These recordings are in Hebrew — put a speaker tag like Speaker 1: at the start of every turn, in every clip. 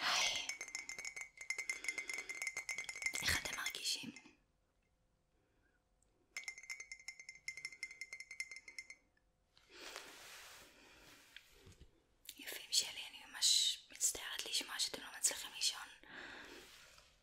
Speaker 1: היי, איך אתם מרגישים? יפים שלי, אני ממש מצטערת לשמוע שאתם לא מצליחים לישון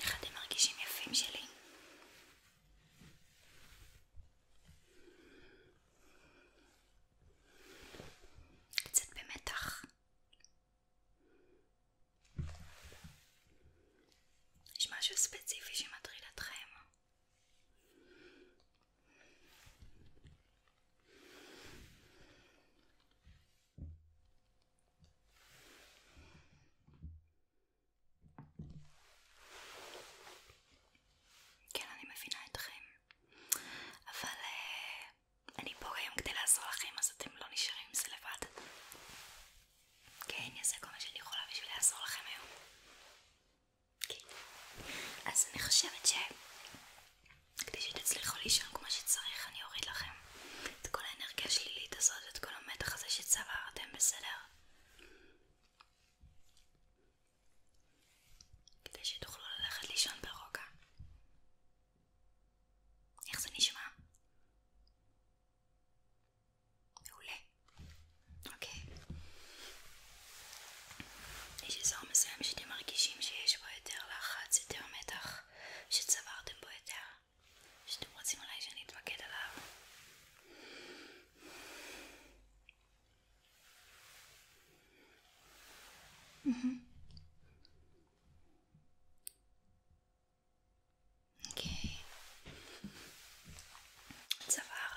Speaker 1: איך אתם מרגישים יפים שלי? קצת במתח. יש משהו ספציפי שמטריד אתכם? כן, אני מבינה אתכם, אבל uh, אני פה היום כדי לעזור לכם, אז אתם לא נשארים עם זה לבד. כן, אני אעשה כל מה שאני יכולה בשביל לעזור לכם היום. כן. אז אני חושבת שכדי שתצליחו לישון כמו שצריך אני אוריד לכם את כל האנרגיה השלילית הזאת ואת כל המתח הזה שצברתם, בסדר? כדי שתוכלו ללכת לישון ברוגע. איך זה נשמע? מעולה. אוקיי. יש אזור מסוים שאתם מרגישים שיש בו יותר לחץ, יותר מתח, שצברתם בו יותר, שאתם רוצים אולי שאני אתמקד עליו. Mm -hmm. אוקיי, צוואר,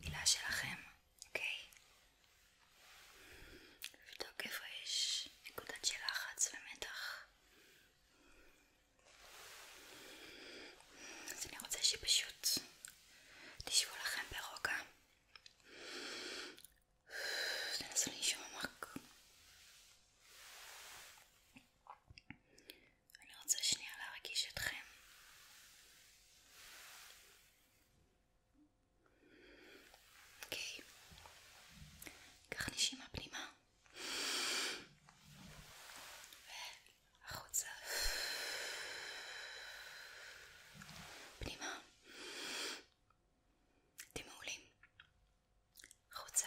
Speaker 1: מילה שלכם, אוקיי? לבדוק איפה יש נקודת של לחץ ומתח אז אני רוצה שפשוט תשבו לכם ברוגע תנסו לנשום עמוק אני רוצה שנייה להרגיש אתכם אוקיי, קח נשימה פנימה והחוצה פנימה אתם מעולים החוצה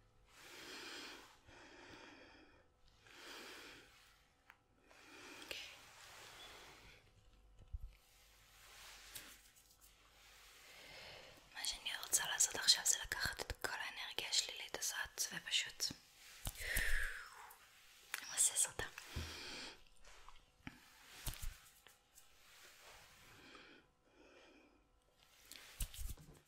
Speaker 1: Okay. אוקיי. מה שאני רוצה לעשות עכשיו זה לקחת את כל האנרגיה השלילית הזאת ופשוט למסס אותה.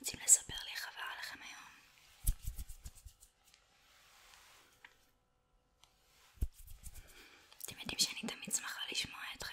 Speaker 1: רוצים לספר לי איך עבר עליכם היום? אתם יודעים שאני תמיד שמחה לשמוע אתכם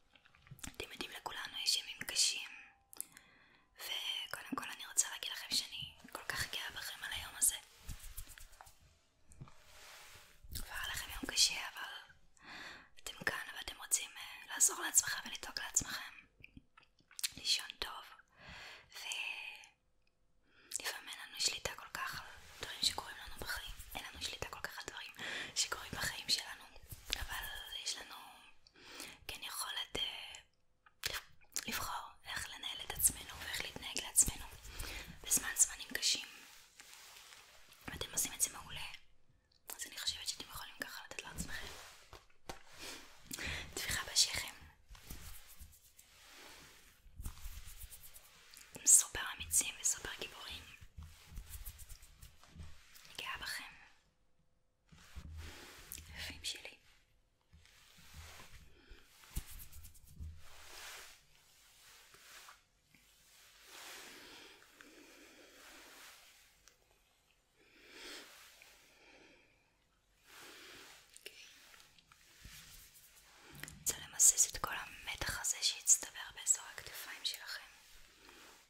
Speaker 1: אתם יודעים לכולנו יש ימים קשים וקודם כל אני רוצה להגיד לכם שאני כל כך גאה בכם על היום הזה והיה לכם יום קשה אה, טוב ולפעמים אין לנו שליטה כל כך על דברים שקורים לנו בחיים אין לנו שליטה כל כך על דברים שקורים בחיים שלנו אבל יש לנו כן יכולת uh, לבחור איך לנהל את עצמנו ואיך להתנהג לעצמנו בזמן זמנים קשים ואתם עושים את זה מעולה אז אני חושבת שאתם יכולים ככה לתת לעצמכם טפיחה בשכם הם סופר אמיצים וסופר גיבורים אני גאה בכם יפים שלי. אני אוקיי. רוצה למסס את כל המתח הזה שהצטבר באזור הכתפיים שלכם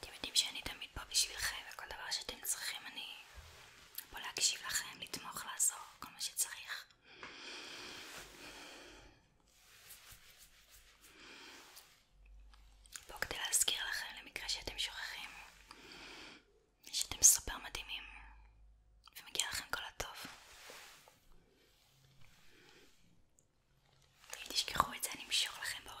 Speaker 1: אתם יודעים שאני תמיד פה בשבילכם וכל דבר שאתם צריכים אני פה להקשיב לכם, לתמוך, לעזור, כל מה שצריך פה כדי להזכיר לכם למקרה שאתם שוכחים שאתם סופר מדהימים ומגיע לכם כל הטוב. אם תשכחו את זה אני אמשוך לכם באוזן.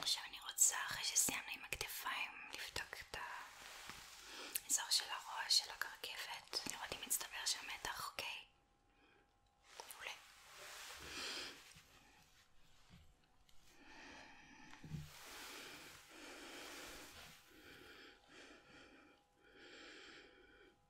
Speaker 1: עכשיו אני רוצה, אחרי שסיימנו עם הכתפיים, לבדוק את האזור של הראש, של הקרקפת, לראות אם מצטבר שם מתח, אוקיי? מעולה.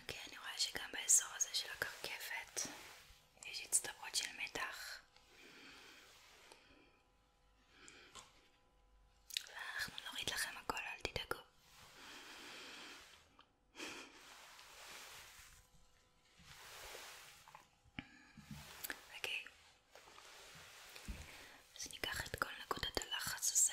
Speaker 1: אוקיי, אני רואה שגם באזור הזה של הקרקפת יש הצטברות של מתח ואנחנו נוריד לכם הכל, אל תדאגו אוקיי, אז ניקח את כל נקודת הלחץ הזה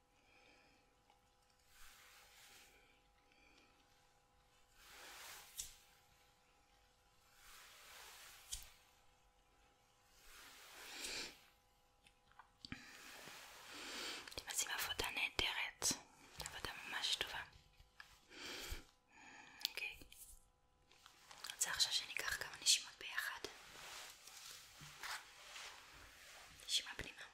Speaker 1: אתם עושים עבודה נהדרת, עבודה ממש טובה. אוקיי. רוצה עכשיו שניקח כמה נשימות ביחד? נשימה פנימה.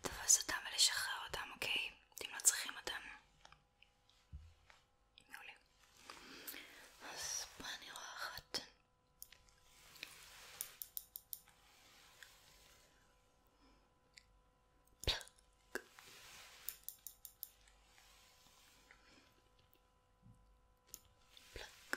Speaker 1: לתפוס אותם ולשחרר אותם, אוקיי? אם לא צריכים אותם. מעולה. אז פה אני רואה אחת. פלק. פלק.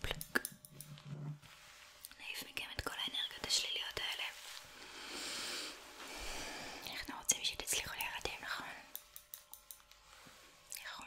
Speaker 1: פלק. נעיף מכם את כל האנרגיות השליליות האלה. אנחנו רוצים שתצליחו להירדם, נכון? נכון.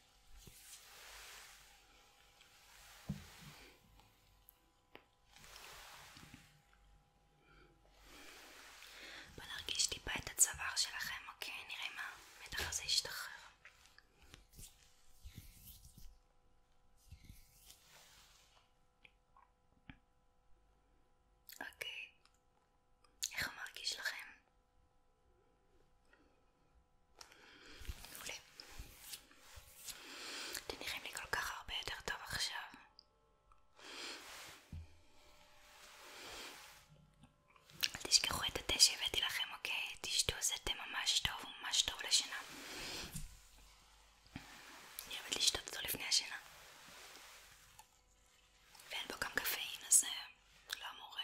Speaker 1: בוא נרגיש טיפה את הצוואר שלכם, אוקיי? נראה מה המתח הזה ישתחרר. אוקיי, איך הוא מרגיש לכם? מעולה. אתם נראים לי כל כך הרבה יותר טוב עכשיו. אל תשכחו את התה שהבאתי לכם, אוקיי? תשתו, זה תה ממש טוב, הוא ממש טוב לשינה. אני אוהבת לשתות אותו לפני השינה. ואין בו גם קפאין, אז זה אה, לא אמור אה,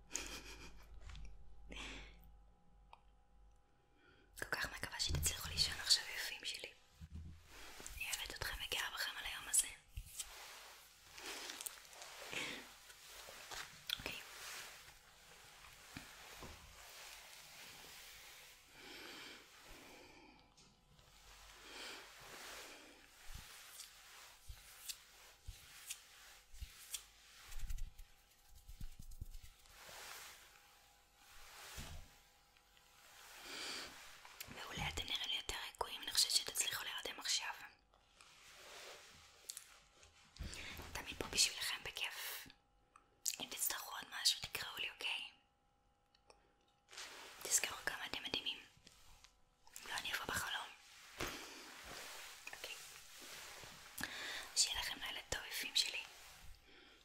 Speaker 1: כל כך מקווה שתצליחו לישון עכשיו יפים שלי. אני אוהבת אתכם וגאה בכם על היום הזה. אוקיי. מעולה, אתם נראים לי יותר רגועים, אני חושבת שתצליחו להירדם עכשיו. תמיד פה בשבילכם בכיף. אם תצטרכו עוד משהו תקראו לי, אוקיי? תזכרו כמה אתם מדהימים. לא אני אבוא בחלום. אוקיי. שיהיה לכם לילה טוב יפים שלי.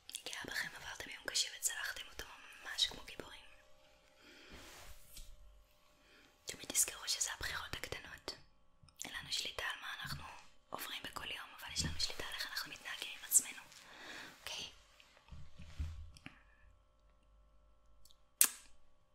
Speaker 1: אני גאה בכם, עברתם יום קשה וצלחתם אותו ממש כמו גיבורים. תמיד תזכרו שזה הבחירות הקטנות. אין לנו שליטה על מה אנחנו עוברים בכל יום, אבל יש לנו שליטה על איך אנחנו מתנהגים עם עצמנו. אוקיי?